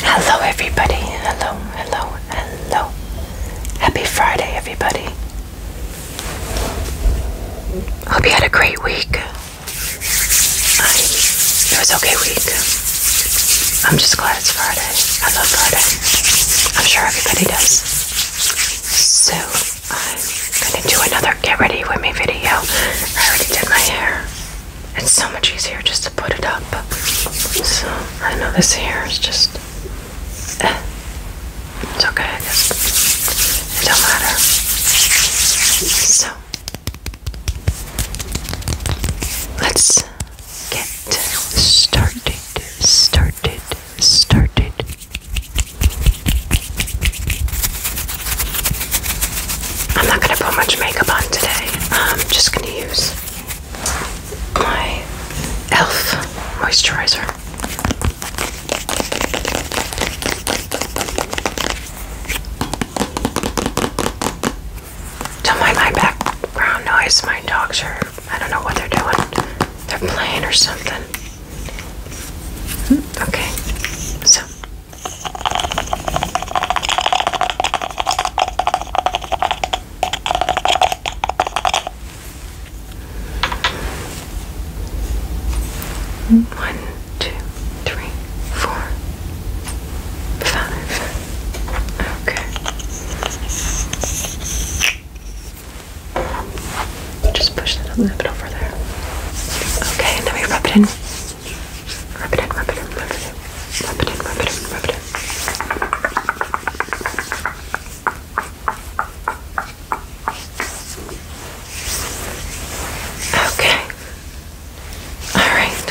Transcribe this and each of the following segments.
Hello, everybody. Hello, hello, hello. Happy Friday, everybody. Hope you had a great week. it was okay week. I'm just glad it's Friday. I love Friday. I'm sure everybody does. So I'm gonna do another get ready with me video. I already did my hair it's so much easier just to put it up. So I know this here is just. Eh. It's okay, I guess. It don't matter. So let's get started. Started. Started. I'm not gonna put much makeup on today. I'm um, just gonna use my e.l.f. moisturizer. Don't my background noise. My dogs are, I don't know what they're doing. They're playing or something. Okay, so one, two, three, four, five. Okay. Just push that a little bit over there. Okay, now we rub it in. Rub it in, rub it in, rub it in. Rub it in, rub it in, rub it in. Okay. Alright.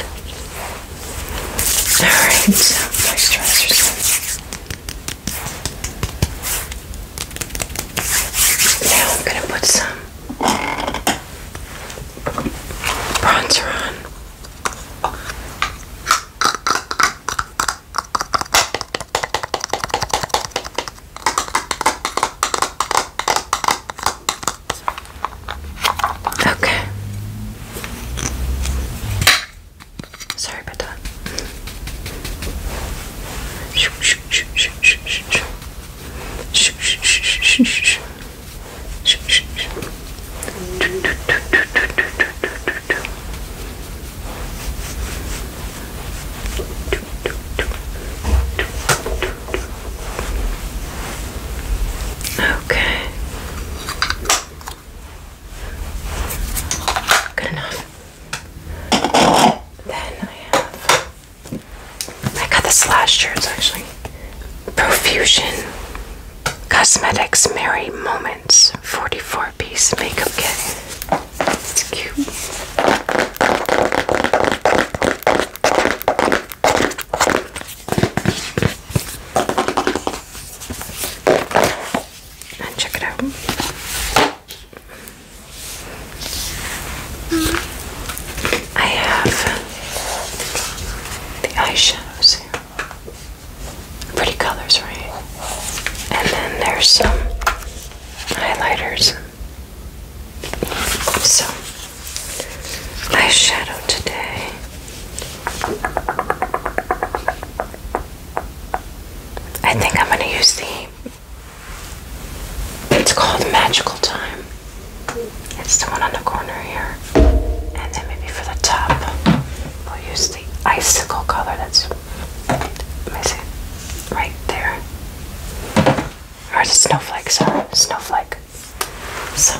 Alright, so moisturize yourself. Now I'm going to put some bronzer on. Okay. Sorry about that. Okay. Good enough. Then I have. I got this last shirts actually. Profusion Cosmetics Merry Moments 44 piece makeup kit. It's cute. And check it out. I have the eyeshadows Pretty colors, right? And then there's some highlighters. So, eyeshadow today. I think I'm going to use the. It's called Magical Time. It's the one on the corner here. And then maybe for the top, we'll use the icicle color that's. Let Right there. Or the snowflake, sorry. Snowflake. So.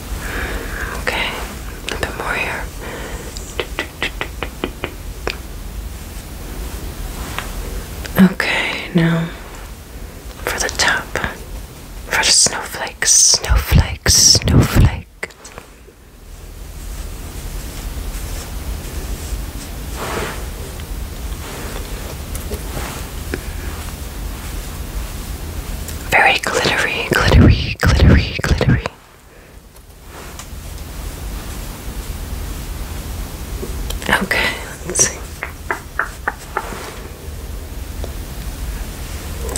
Okay, a bit more here. Okay, now for the top, for the snowflakes, snowflakes, snowflake. Very glittery, glittery, glittery, glittery, Okay, let's see.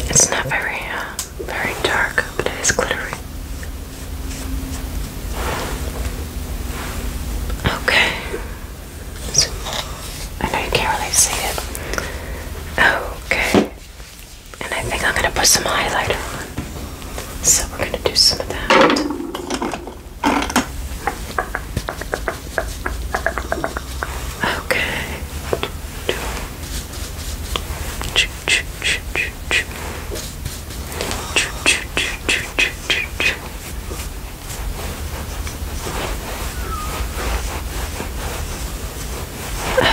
It's not very, uh, very dark, but it is glittery. Okay. I know you can't really see it. Okay. And I think I'm going to put some highlighter on. So we're going to do some of that. Okay.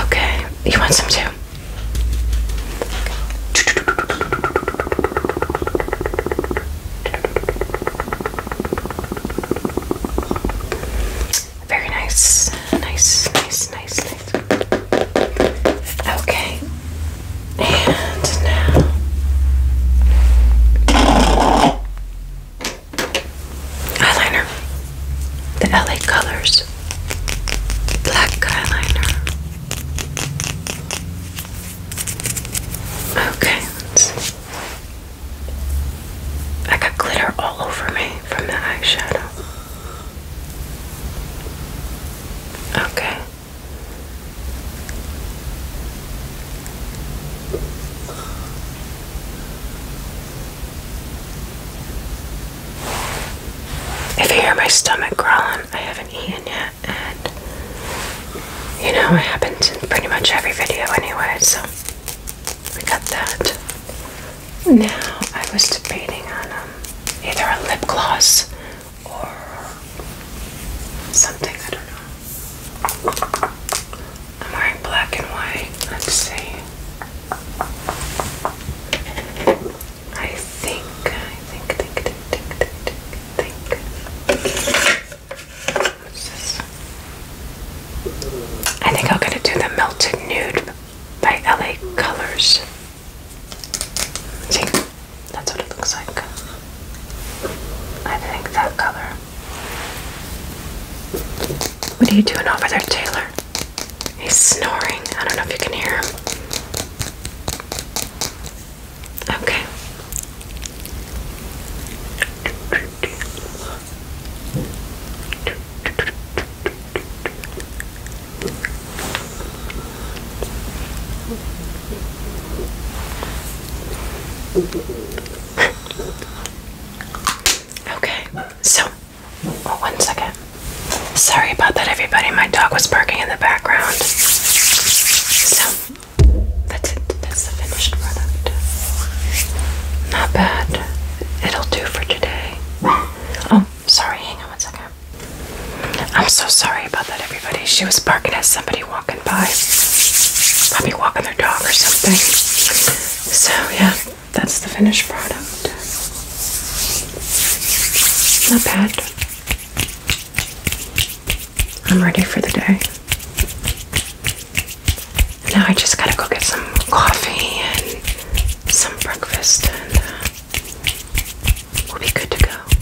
Okay, you want some too? Very nice, nice, nice, nice. Okay, and now eyeliner. The LA Colors black eyeliner. Okay, I got glitter all over me from the eyeshadow. Okay. If you hear my stomach growling, I haven't eaten yet, and you know, it happens in pretty much every video anyway, so we got that. Now, I was debating on um, either a lip gloss or something, I don't know. I'm wearing black and white. Let's see. I think, I think, think, think, think, think, think. I think I'm gonna do the Melted Nude by LA Colors. See, that's what it looks like. I think that color. What are you doing over there, Taylor? He's snoring. I don't know if you can hear him. Okay. Okay, so oh, one second. Sorry about that, everybody. My dog was barking in the background. So that's it. That's the finished product. Not bad. It'll do for today. Oh, sorry. Hang on one second. I'm so sorry about that, everybody. She was barking at somebody walking by. Probably walking their dog or something. So, yeah, that's the finished product. Not bad. I'm ready for the day. Now I just gotta go get some coffee and some breakfast, and uh, we'll be good to go.